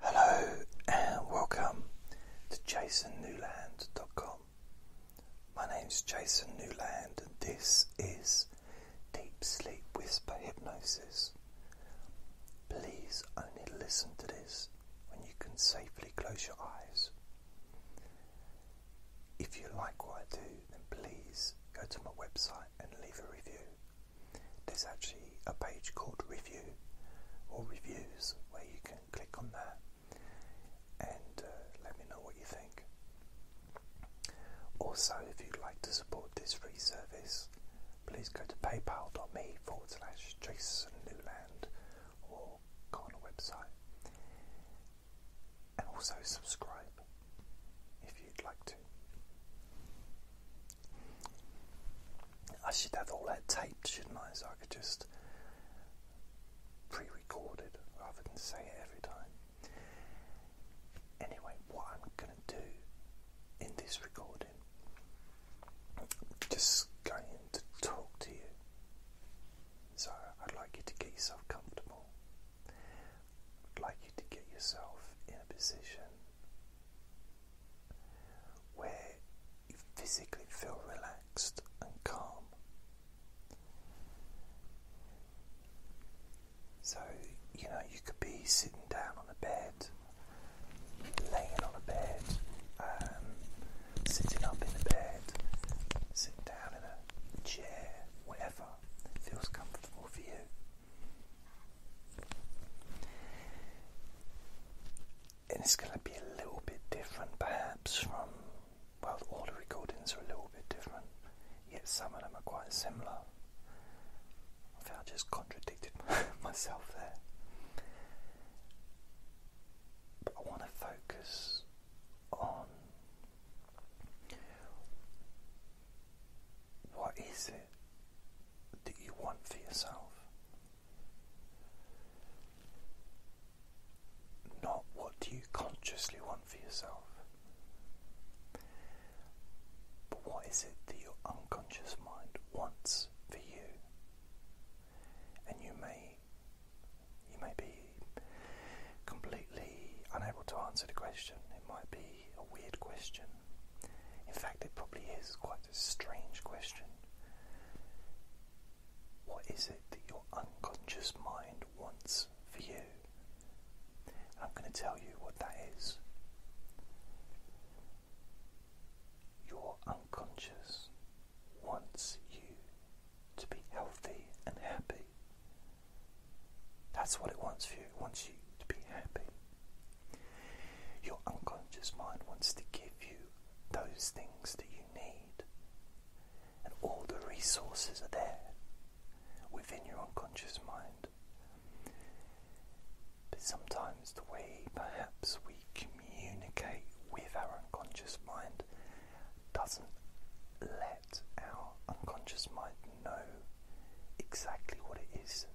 Hello and welcome to jasonnewland.com. My name's Jason Newland and this is Deep Sleep Whisper Hypnosis. Please only listen to this when you can safely close your eyes. If you like what I do, then please go to my website and leave a review. There's actually a page called Review or Reviews where you can click on that and uh, let me know what you think. Also, if you'd like to support this free service, please go to paypal.me forward or go on the website and also subscribe if you'd like to. I should have all that taped, shouldn't I? So I could just pre record it rather than say it every time. Anyway, what I'm going to do in this recording, just going to talk to you. So I'd like you to get yourself comfortable. I'd like you to get yourself in a position where you physically feel relaxed and calm. So, you know, you could be sitting down on a bed, laying on a bed, um, sitting up in a bed, sitting down in a chair, whatever feels comfortable for you it's going to be a little bit different, perhaps, from. Well, all the recordings are a little bit different, yet some of them are quite similar. I think I just contradicted myself there. But I want to focus on what is it that you want for yourself. Not what do you consciously want for yourself, but what is it that your unconscious mind wants for you? And you may you may be completely unable to answer the question. It might be a weird question. In fact, it probably is quite a strange question. What is it that your unconscious mind wants for you? I'm going to tell you what that is. Your unconscious wants you to be healthy and happy. That's what it wants for you. It wants you to be happy. Your unconscious mind wants to give you those things that you need, and all the resources are there within your unconscious mind. But sometimes the way perhaps we communicate with our unconscious mind doesn't let our unconscious mind know exactly what it is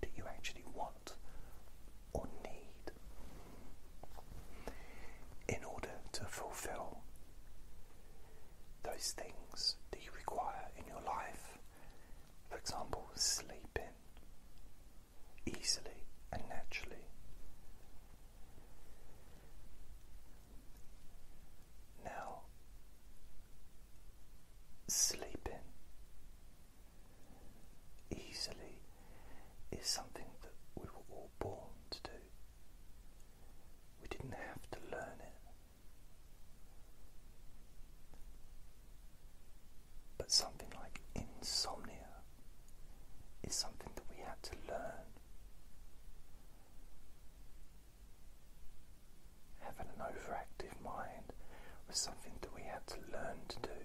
that you actually want or need. In order to fulfill those things that you require in your life, for example, sleeping easily and naturally. Now, sleeping easily is something that we were all born to do. We didn't have to learn it. But something like insomnia is something that we had to learn having an overactive mind was something that we had to learn to do.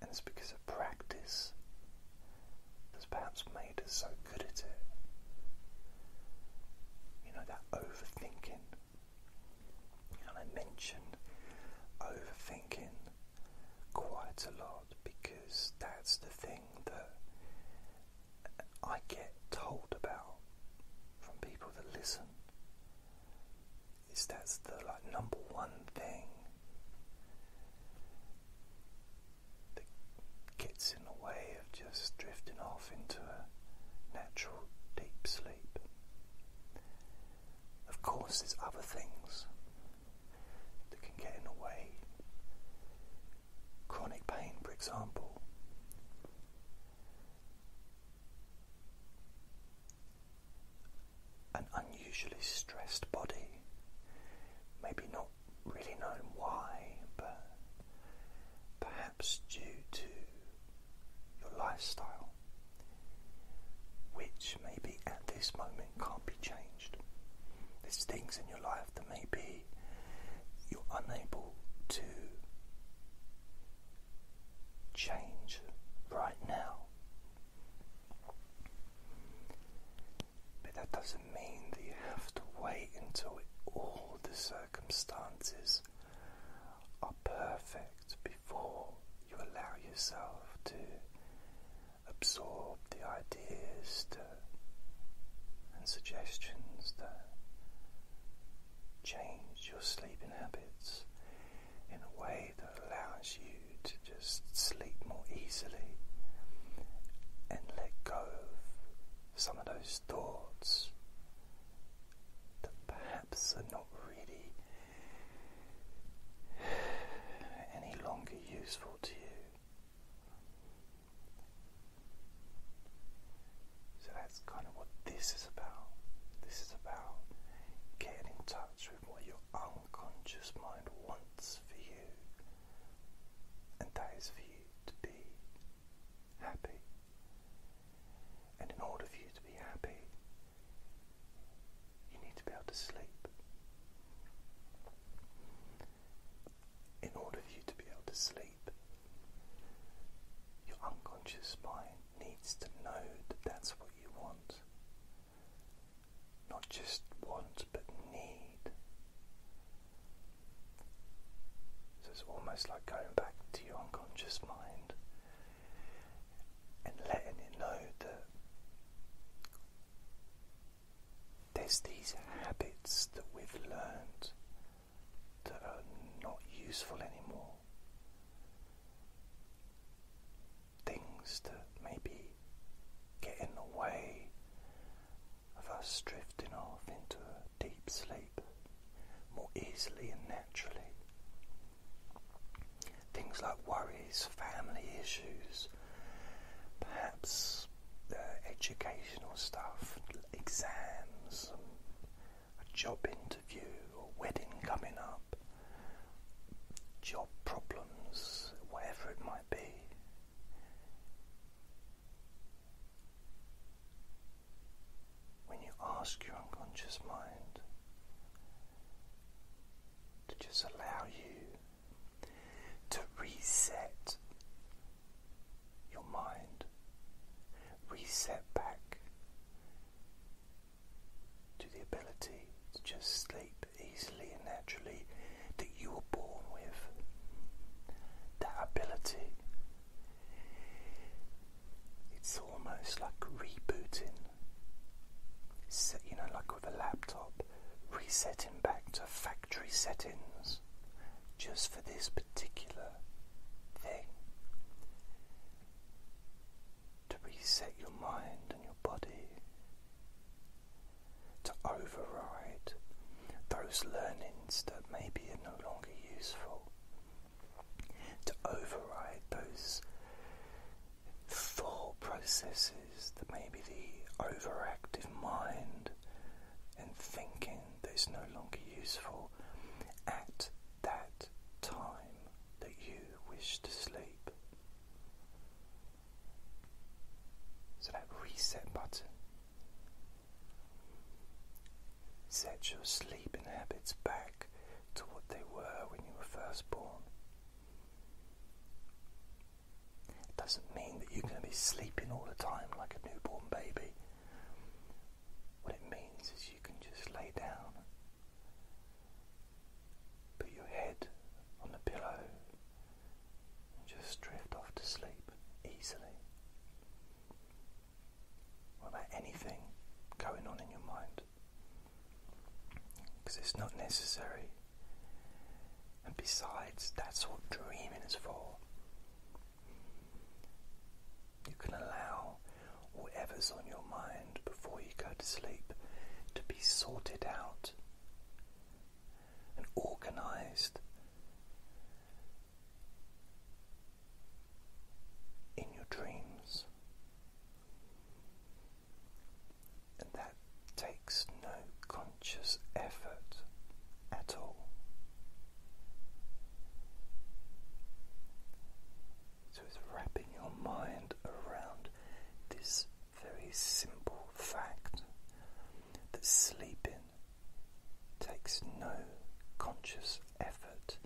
And it's because of practice that's perhaps made us so good at it. You know, that overthinking. I mentioned overthinking quite a lot because that's the thing that I get told about from people that listen is that's the like number one thing that gets in the way of just drifting off into a natural deep sleep. Of course, there's other things that can get in the way chronic pain, for example. An unusually stressed body, maybe not really known why, but perhaps due to your lifestyle, which maybe at this moment can't be changed. There's things in your life that maybe you're unable to change right now. But that doesn't mean that you have to wait until all the circumstances are perfect before you allow yourself to absorb the ideas, and suggestions that change your sleeping habits in a way that allows you to just sleep more easily and let go of some of those thoughts that perhaps are not really any longer useful to you. So that's kind of what this is about. This is about getting in touch with what your unconscious mind wants for you, and that is for you to be happy. And in order for you to be happy, you need to be able to sleep. In order for you to be able to sleep, your unconscious mind needs to know that that's what you want. Not just want, but need. So it's almost like going back to your unconscious mind and letting it know that there's these habits that we've learned that are not useful anymore. Things that maybe get in the way of us drifting off into a deep sleep more easily and naturally. Things like worries, family issues, perhaps was uh, educational stuff, exams, a job interview, a wedding coming up, job problems, whatever it might be. When you ask your unconscious mind to just allow you to reset your mind. Reset back to the ability to just sleep easily and naturally that you were born with. That ability. It's almost like rebooting. you know, like with a laptop, resetting back to factory settings just for this particular thing to reset your mind and your body, to override those learnings that maybe are no longer useful, to override those thought processes that maybe the overactive mind and thinking that it's no longer useful at that time that you wish to sleep. So that reset button. Set your sleeping habits back to what they were when you were first born. It doesn't mean that you're going to be sleeping all the time like a newborn baby. What it means is you can just lay down, put your head on the pillow, and just drift off to sleep easily without anything going on in your mind. Because it's not necessary and besides, that's what dreaming is for. You can allow whatever's on your mind before you go to sleep to be sorted out and organized in your dreams. And that takes no conscious effort at all. So it's wrapping your mind around this very simple fact that sleeping takes no conscious effort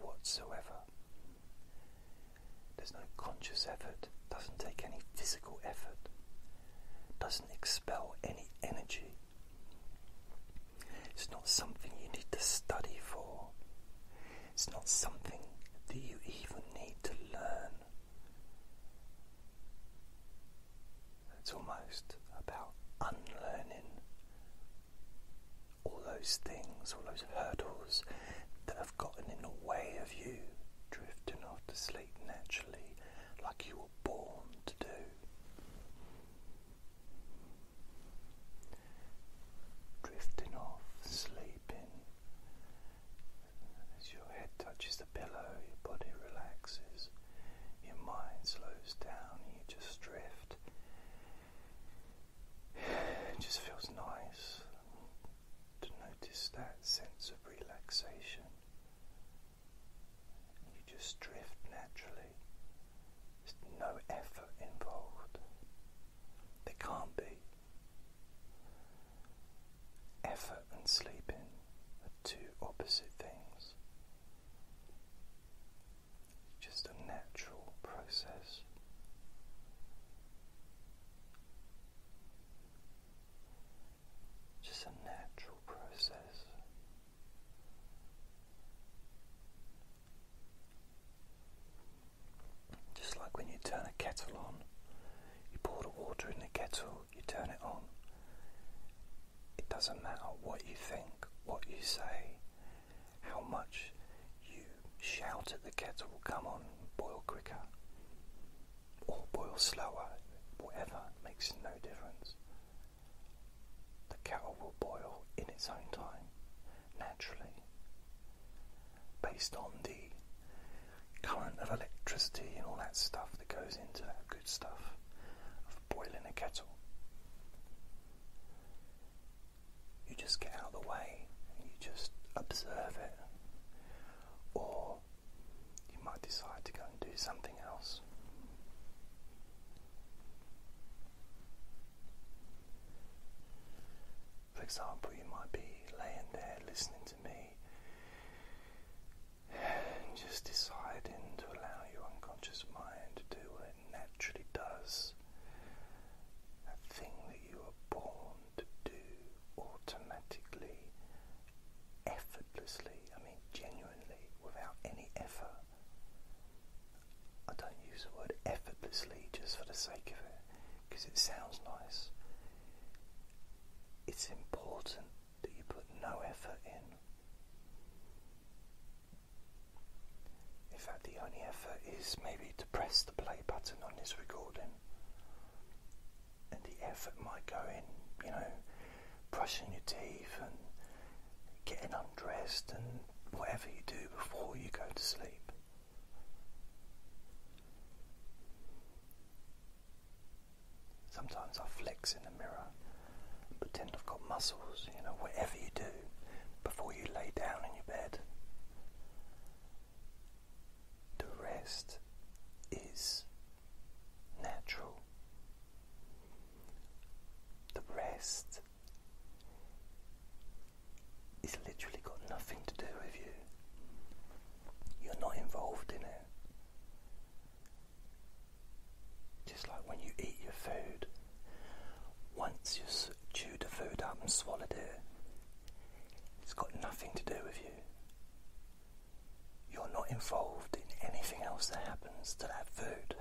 whatsoever. There's no conscious effort, doesn't take any physical effort doesn't expel any energy. It's not something you need to study for. It's not something that you even need to learn. It's almost about unlearning all those things, all those hurdles that have gotten in the way of you drifting off to sleep naturally like you were born to do. Drifting off, sleeping. As your head touches the pillow, your body relaxes, your mind slows down, and you just drift. It just feels nice to notice that sense of relaxation. You just drift naturally. There's no effort involved. There can't be. Effort and sleeping are two opposite things. It's just a natural process just a natural process. Just like when you turn a kettle on, you pour the water in the kettle, you turn it on. It doesn't matter what you think, what you say, how much you shout at the kettle, will come on, boil quicker or boil slower, whatever makes no difference. The kettle will boil in its own time, naturally, based on the current of electricity and all that stuff that goes into that good stuff of boiling a kettle. You just get out of the way and you just observe it. Or you might decide to go and do something else. For example, you might be laying there listening to me and just deciding to allow your unconscious mind to do what it naturally does a thing that you were born to do automatically effortlessly, I mean genuinely, without any effort. I don't use the word effortlessly just for the sake of it, because it sounds nice. It's important that you put no effort in. In fact, the only effort is maybe to press the play button on this recording and the effort might go in, you know, brushing your teeth and getting undressed and whatever you do before you go to sleep. Sometimes I flex in the mirror and pretend I've got muscles, you know, whatever you do before you lay down in your bed the rest is natural. The rest is literally got nothing to do with you. You're not involved in it. Just like when you eat your food, once you've chewed the food up and swallowed it, it's got nothing to do with you. You're not involved in anything else that happens to that food.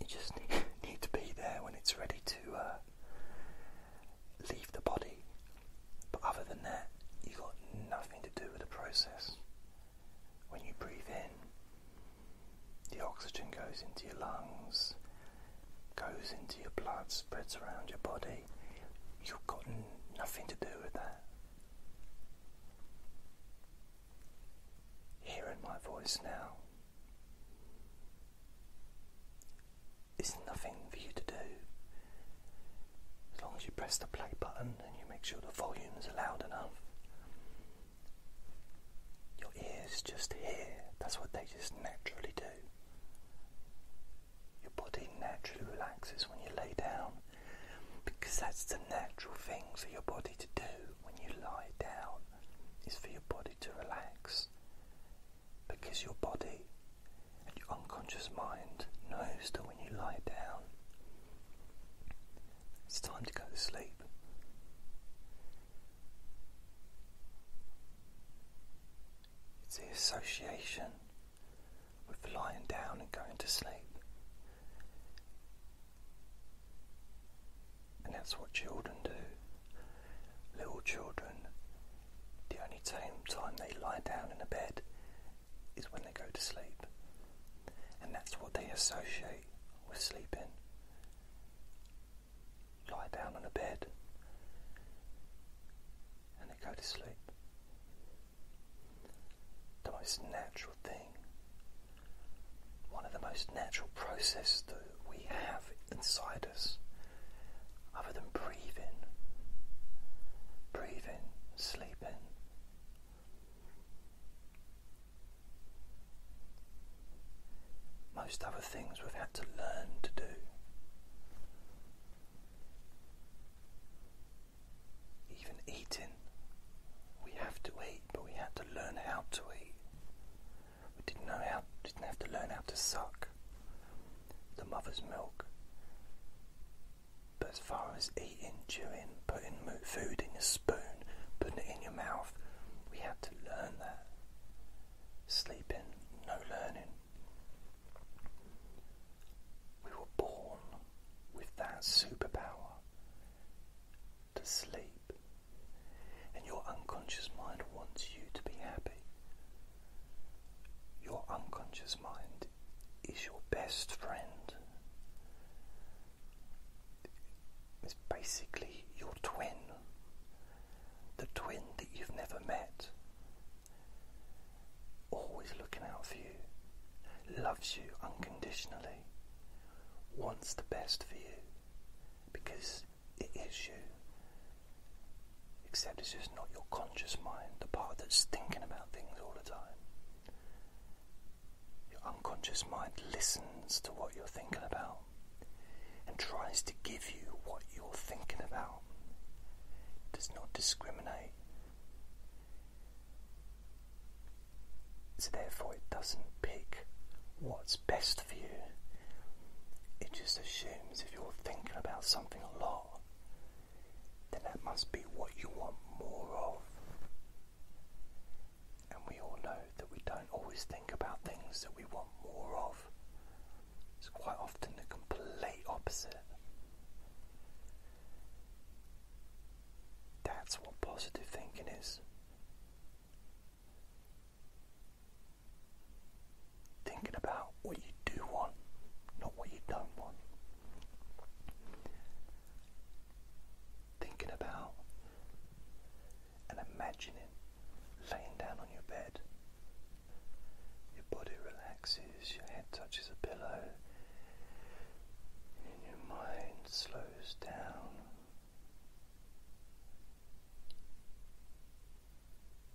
You just need, to be there when it's ready to uh, leave the body. But other than that, you got nothing to do with the process. When you breathe in, the oxygen goes into your lungs, goes into your blood, spreads around your body, you've got nothing to do with that. Hearing my voice now there's nothing for you to do. As long as you press the play button and you make sure the volume is loud enough, your ears just hear. That's what they just naturally do. Your body naturally relaxes when you lay down because that's the natural thing for your body to do when you lie down is for your body to relax because your body and your unconscious mind knows that when you lie down it's time to go to sleep. It's the association with lying down and going to sleep. And that's what children do. Little children, the only time they lie down in a bed is when they go to sleep. And that's what they associate with sleeping lie down on a bed and go to sleep. The most natural thing, one of the most natural processes that we have inside us, other than breathing, breathing, sleeping most other things we've had to learn to do. Even eating, we have to eat, but we had to learn how to eat. We didn't know how, didn't have to learn how to suck the mother's milk. But as far as eating, chewing, putting food in a spoon, putting it in your mouth, we had to learn that sleeping, no learning. We were born with that superpower to sleep, and your unconscious mind wants you to be happy. Your unconscious mind is your best friend. It's basically your twin the twin that you've never met, always looking out for you, loves you unconditionally, wants the best for you because it is you. Except it's just not your conscious mind, the part that's thinking about things all the time. Your unconscious mind listens to what you're thinking about and tries to give you what you're thinking about, does not discriminate. So, therefore, it doesn't pick what's best for you. It just assumes if you're thinking about something a lot, then that must be what you want more of. And we all know that we don't always think about things that we want more of. It's quite often the complete opposite. That's what positive thinking is. Thinking about what you do want, not what you don't want. Thinking about and imagine it, laying down on your bed. Your body relaxes, your head touches a pillow, and your mind slows down.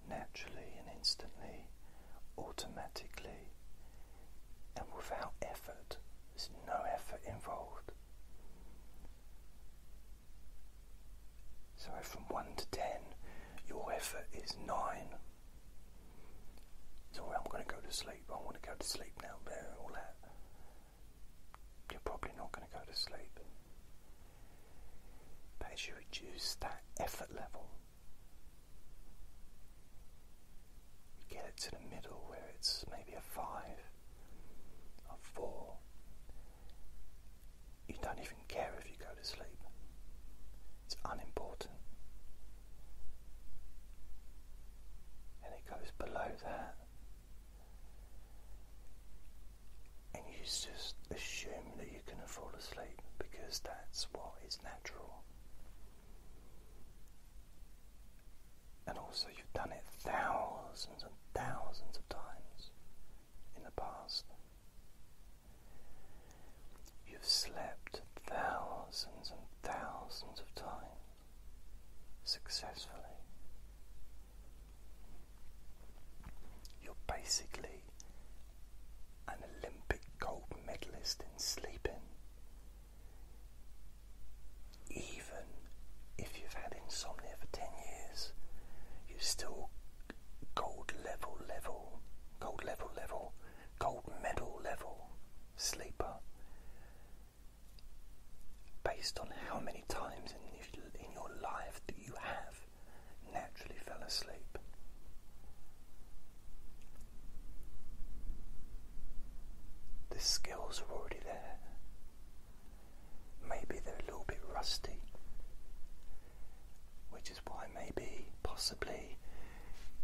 Naturally and instantly, automatically, and without effort, there's no effort involved. So, from 1 to 10, your effort is 9. So, I'm going to go to sleep. I want to go to sleep now. All that. You're probably not going to go to sleep. But as you reduce that effort level, you get it to the middle where it's maybe a 5, a 4. You don't even care if you go to sleep, it's unimportant. And it goes below that, and you just assume that you're going to fall asleep because that's what is natural. And also, you've done it thousands and thousands of times in the past. You've slept thousands and thousands of times successfully. You're basically an Olympic gold medalist in sleeping, even if you've had insomnia for 10 years, you're still gold level, level, gold level, level, gold medal level sleeper based on how many times in your life that you have naturally fell asleep. The skills are already there. Maybe they're a little bit rusty, which is why maybe possibly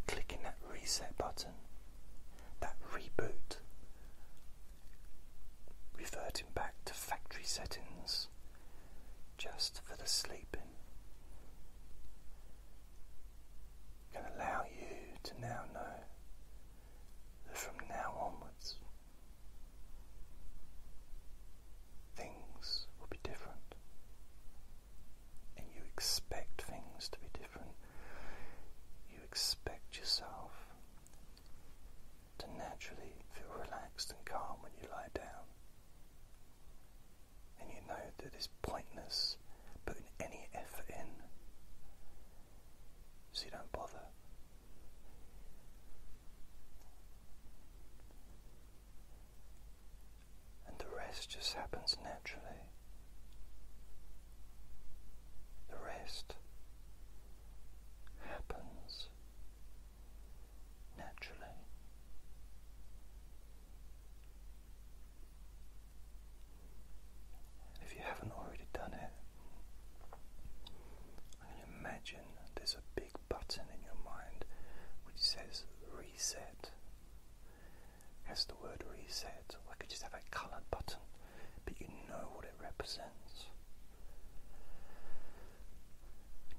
clicking that reset button, that reboot, reverting back to factory settings just for the sleeping. Can allow you to now know that from now onwards things will be different. And you expect things to be different. You expect yourself to naturally feel relaxed and calm when you lie down. And you know that it's pointless putting any effort in. So you don't bother. And the rest just happens naturally. The rest happens naturally. If you haven't already done it, I can imagine there's a big button in your mind which says reset. Has the word reset, or I could just have a coloured button, but you know what it represents.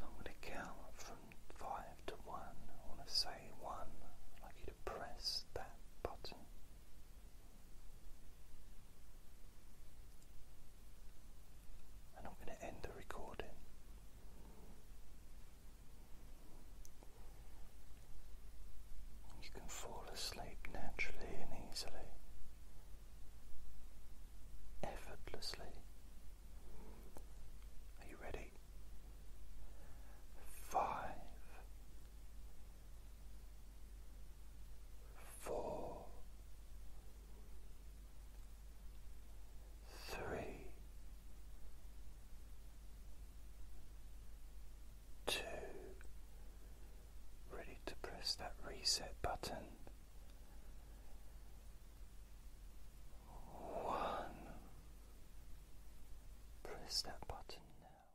I'm going to count from five to one. I want to say one. I'd like you to press that button. And I'm going to end the recording. You can fall asleep naturally and easily, effortlessly. Are you ready? Five, four, three, two. Ready to press that reset button. One. Press that button now.